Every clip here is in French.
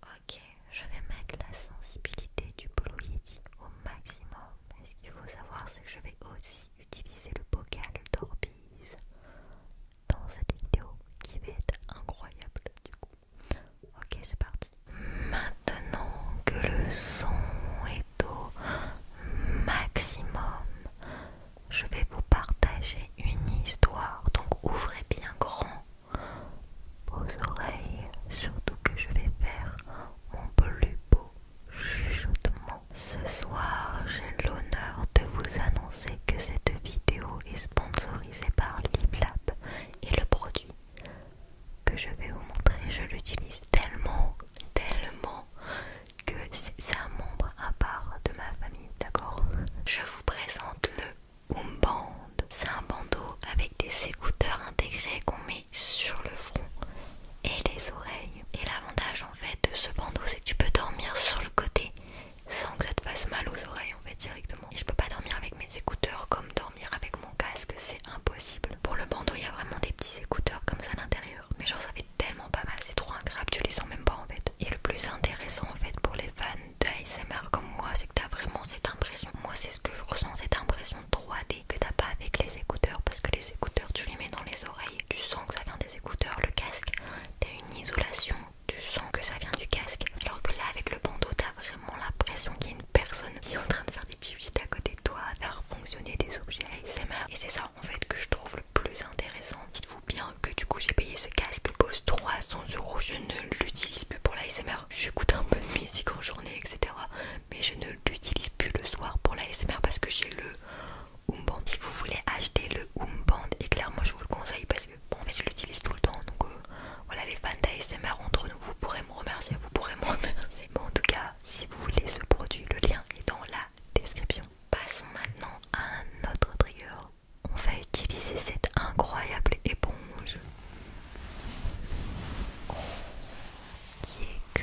Ok, je vais mettre la sensibilité du Blue au maximum. Et ce qu'il faut savoir, c'est que je vais aussi utiliser le bocal d'Orbeez dans cette vidéo qui va être incroyable du coup. Ok, c'est parti. Maintenant que le son est au maximum, je vais vous partager une histoire. Donc ouvrez bien grand aux oreilles, surtout que je vais faire mon plus beau chuchotement. Ce soir, j'ai l'honneur de vous annoncer que cette vidéo est sponsorisée par LibLab et le produit que je vais vous montrer, je l'utilise tellement, tellement que c'est un membre à part de ma famille, d'accord Je vous présente le c'est un bandeau avec des écouteurs intégrés qu'on met sur le front et les oreilles. Et l'avantage en fait de ce bandeau, c'est que tu peux dormir sur le côté sans que ça te fasse mal aux oreilles en fait directement. Et je peux pas dormir avec mes écouteurs comme dormir avec mon casque, c'est impossible. Pour le bandeau, il y a vraiment des petits écouteurs comme ça à l'intérieur. Mais genre ça fait tellement pas mal, c'est trop incroyable, tu les sens même pas en fait. Et le plus intéressant en fait pour les fans d'ASMR comme moi, c'est que t'as vraiment cette impression. Moi, c'est ce que je ressens, cette impression 3D que t'as pas avec les écouteurs. Parce que les écouteurs, tu les mets dans les oreilles, tu sens que ça vient des écouteurs. Le casque, t'as une isolation, tu sens que ça vient du casque. Alors que là, avec le bandeau, t'as vraiment l'impression qu'il y a une personne qui est en train de faire des piouites à côté de toi, à faire fonctionner des objets ASMR. Et c'est ça, en fait, que je trouve le plus intéressant. Dites-vous bien que du coup, j'ai payé ce casque, il coûte 300 euros. Je ne l'utilise plus pour l'ASMR. Je J'écoute un peu de musique en journée, etc. Mais je ne l'utilise plus le soir pour l'ASMR parce que j'ai le Umband. Si vous voulez acheter le Umband, et clairement je vous le conseille parce que bon, mais je l'utilise tout le temps. Donc euh, voilà, les fans d'ASMR entre nous, vous pourrez me remercier, vous pourrez me remercier. Bon, en tout cas, si vous voulez ce produit, le lien est dans la description. Passons maintenant à un autre trigger on va utiliser cette incroyable éponge qui est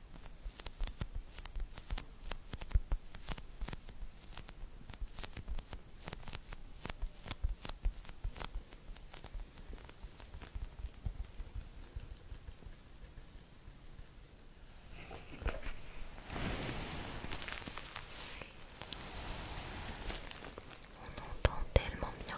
On entend tellement bien.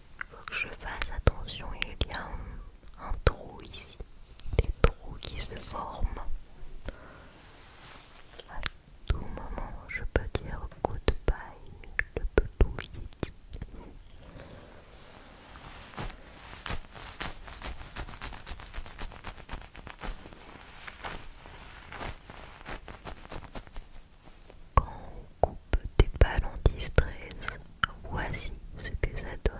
faut que je fasse attention, il y a un, trou ici, des trous qui se forment. À tout moment, je peux dire goodbye, le tout yeti. Quand on coupe des balles en distress, voici ce que ça donne.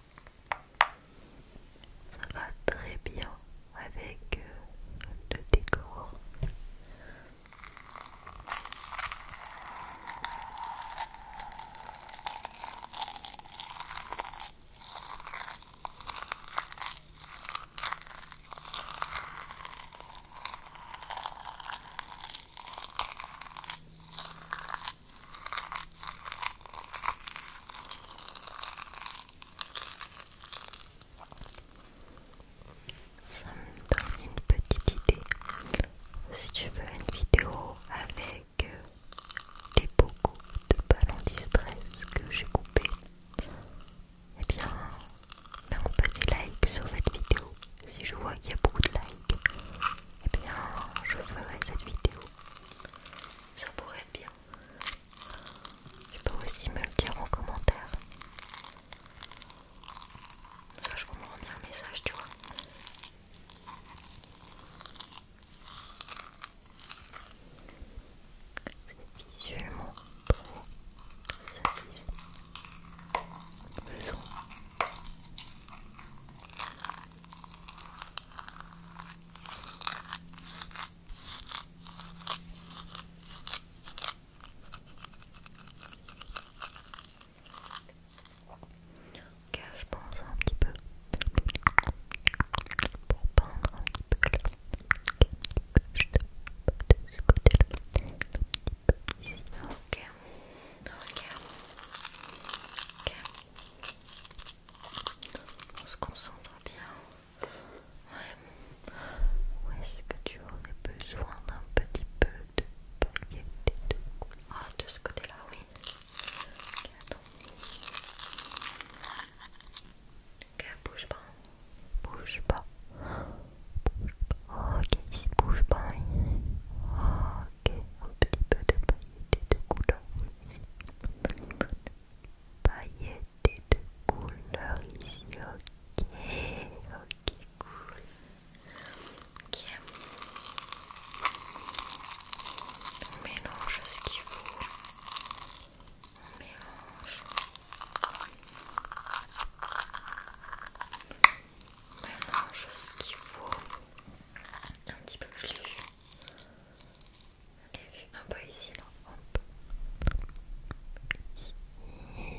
Ça va très bien avec euh, le décor. Ça me donne une petite idée. Si tu veux une vidéo avec euh, des beaucoup de ballons stress que j'ai coupé Et eh bien, mets un petit like sur cette vidéo. Si je vois qu'il y a beaucoup de likes, Et eh bien, je ferai cette vidéo. Ça pourrait être bien. Tu peux aussi me le dire en commentaire. Ça, je comprends bien un message, tu vois. C'est visuellement trop satisfaisant. Ok, je pense un petit peu pour peindre un petit peu Ok, Je te de ce côté-là. Un petit peu ici. Ok. Ok. Ok. On se concentre bien. Ouais. où est-ce que tu aurais besoin d'un petit peu de paillettes et de couleurs Ah, de ce côté-là, oui. Ok, attends. Ok, bouge pas. Bouge pas. Bouge pas. Ok, ici, bouge pas. Ok, un petit peu de paillettes et de couleurs. Ici. un petit peu de Paillettes des de couleurs ici, ok, ok, cool. Ok. On mélange ce qu'il faut. On mélange. On mélange ce qu'il faut. Un petit peu plus un peu ici, là. Hop. Ici,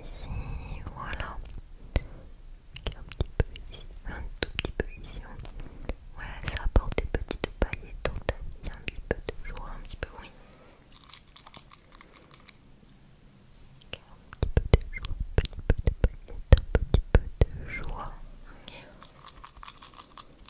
ici, voilà. Un petit peu ici, un tout petit peu ici. Ouais, ça apporte des petites paillettes toutes, un petit peu de joie, un petit peu, oui. Un petit peu de joie, un petit peu de paillettes, un petit peu de joie.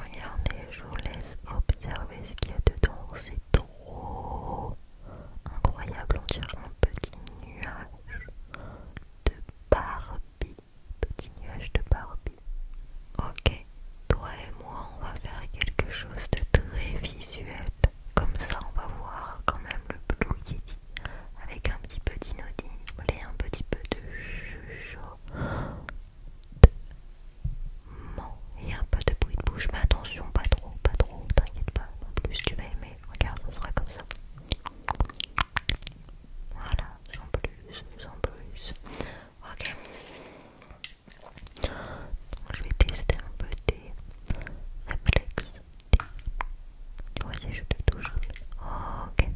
Regardez, je vous laisse observer ce qu'il y a dedans, c'est trop incroyable, on dirait un petit nuage de Barbie. Petit nuage de Barbie. Ok, toi et moi, on va faire quelque chose de très visuel. Comme ça, on va voir quand même le Blue Yeti avec un petit peu d'inaudible et un petit peu de chuchotement et un peu de bruit de bouche. Mais attention, pas trop, pas trop, t'inquiète pas. En plus, tu vas aimer regarde, ça sera comme ça. Voilà, sans plus, sans plus. Ok. je vais tester un peu tes réflexes. Vas-y, je te touche. Ok.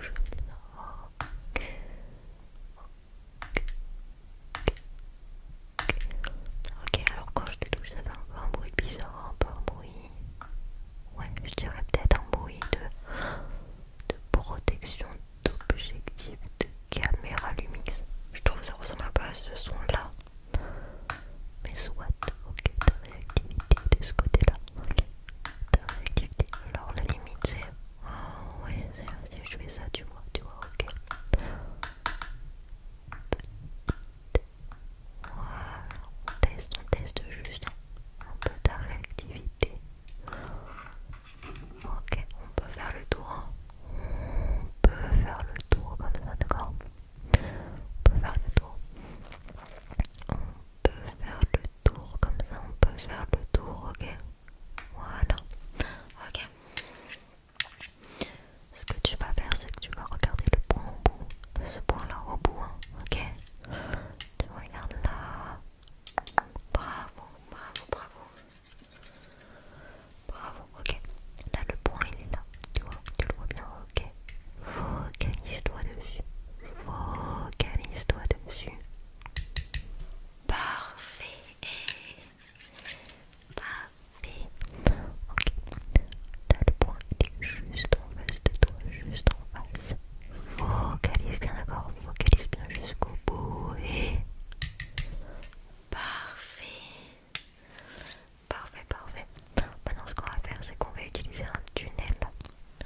Je je touche. Ok. Ok, alors quand je te touche, ça fait un, un bruit bizarre, un peu un bruit. Ouais, je dirais peut-être un bruit de, protection d'objectif de caméra Lumix. Je trouve ça ressemble un peu à ce son-là. Mais soit, ok, ta réactivité de ce côté-là. Ok, ta réactivité. Alors la limite c'est. Oh ouais, je fais ça, tu vois, tu vois, ok on teste, on teste juste un peu ta réactivité. Ok, on peut faire le tour. Hein. On peut faire le tour comme ça, d'accord On peut faire le tour. On peut faire le tour comme ça, on peut faire le tour, ok Voilà. Ok. Ce que tu vas faire, c'est que tu vas regarder le point au bout, ce point-là au bout, hein, ok Tu regardes là. Bravo, bravo, bravo. Bravo, ok. Là, le point, il est là. Tu vois, tu le vois bien, ok. Focalise-toi dessus. Focalise-toi dessus. Parfait. Parfait. Ok. Là, le point est juste en face de toi, juste en face. Focalise bien, d'accord Focalise bien jusqu'au bout et. Parfait. Parfait, parfait. Maintenant, ce qu'on va faire, c'est qu'on va utiliser un tunnel.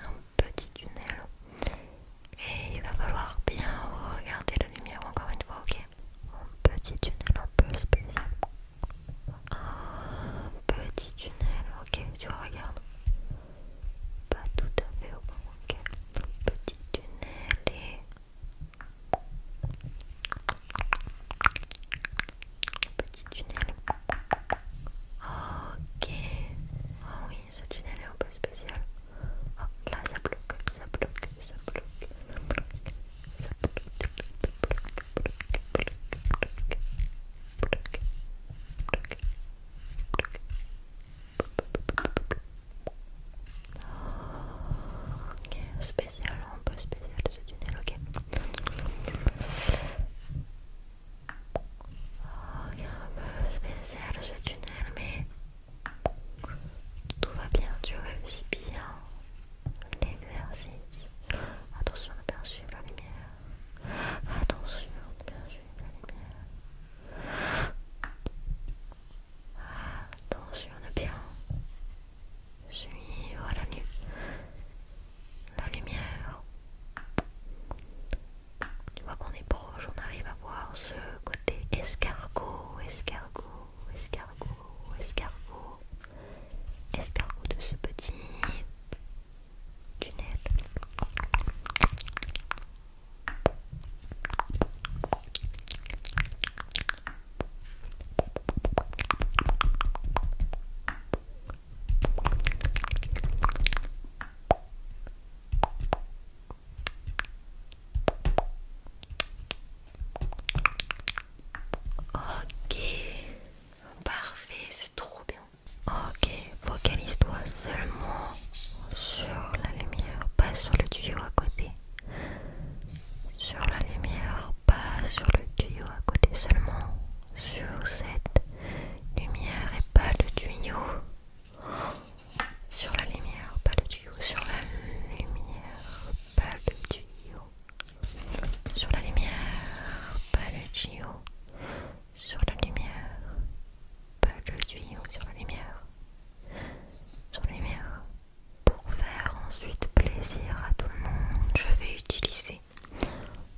Un petit tunnel. Et il va falloir bien regarder la lumière encore une fois, ok Un petit tunnel un peu spécial un petit tunnel, ok, tu regardes. pas tout à fait au bon, ok, petit tunnel et petit tunnel, ok, oh oui, ce tunnel est un peu spécial, ah, là ça bloque, ça bloque, ça bloque, ça bloque. Ok, spécial, un peu spécial ce tunnel, ok. Ok, un peu spécial ce tunnel, mais tout va bien, tu réussis bien l'exercice. Attention de bien suivre la lumière. Attention de bien suivre la lumière. Attention de bien suivre la, lumière la lumière. Tu vois qu'on est proche, on arrive à voir ce côté escargot, escargot, escargot, escargot, escargot de ce petit Ok, parfait, c'est trop bien. Ok, focalise-toi seulement sur la lumière, pas sur le tuyau à côté. Sur la lumière, pas sur le tuyau à côté, seulement sur cette lumière et pas le tuyau. Sur la lumière, pas le tuyau. Sur la lumière, pas le tuyau sur la lumière, pas le tuyau, sur la lumière, pas le tuyau, sur la lumière, sur la lumière. Pour faire ensuite plaisir à tout le monde, je vais utiliser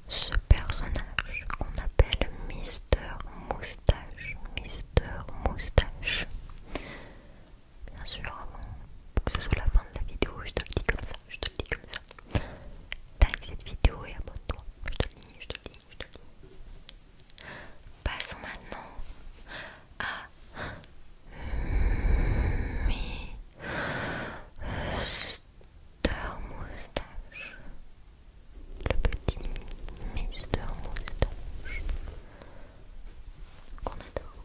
ce personnage qu'on appelle Mister Moustache, Mister Moustache bien sûr avant que ce soit la fin de la vidéo, je te le dis comme ça, je te le dis comme ça. Like cette vidéo et abonne-toi, je te le dis, je te le dis, je te le dis. Passons maintenant à Mister Moustache. Le petit Mister Moustache qu'on adore.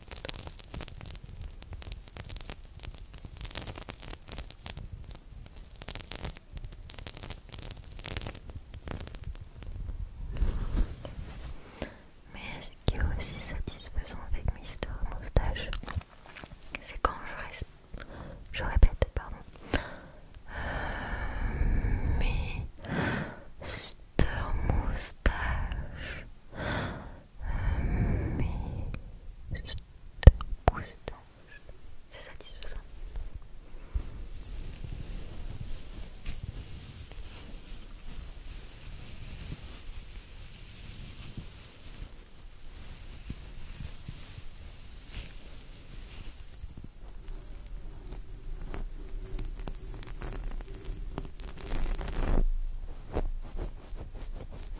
Mais ce qui est aussi satisfaisant avec Mister Moustache, c'est quand je, répète, pardon. Euh, Mister Moustache mais c'est satisfaisant.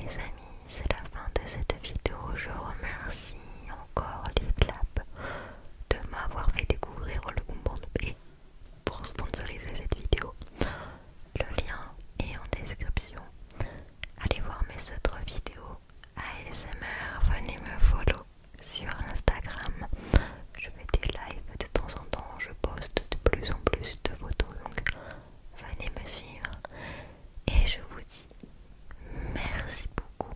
Les amis, c'est la fin de cette vidéo. Je remercie encore LiveLab de m'avoir fait découvrir le de et pour sponsoriser cette vidéo. Le lien est en description. Allez voir mes autres vidéos ASMR, venez me follow sur Instagram. Je fais des lives de temps en temps, je poste de plus en plus de photos, donc venez me suivre. Et je vous dis merci beaucoup,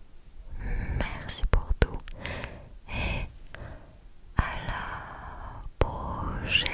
merci pour tout et à la prochaine.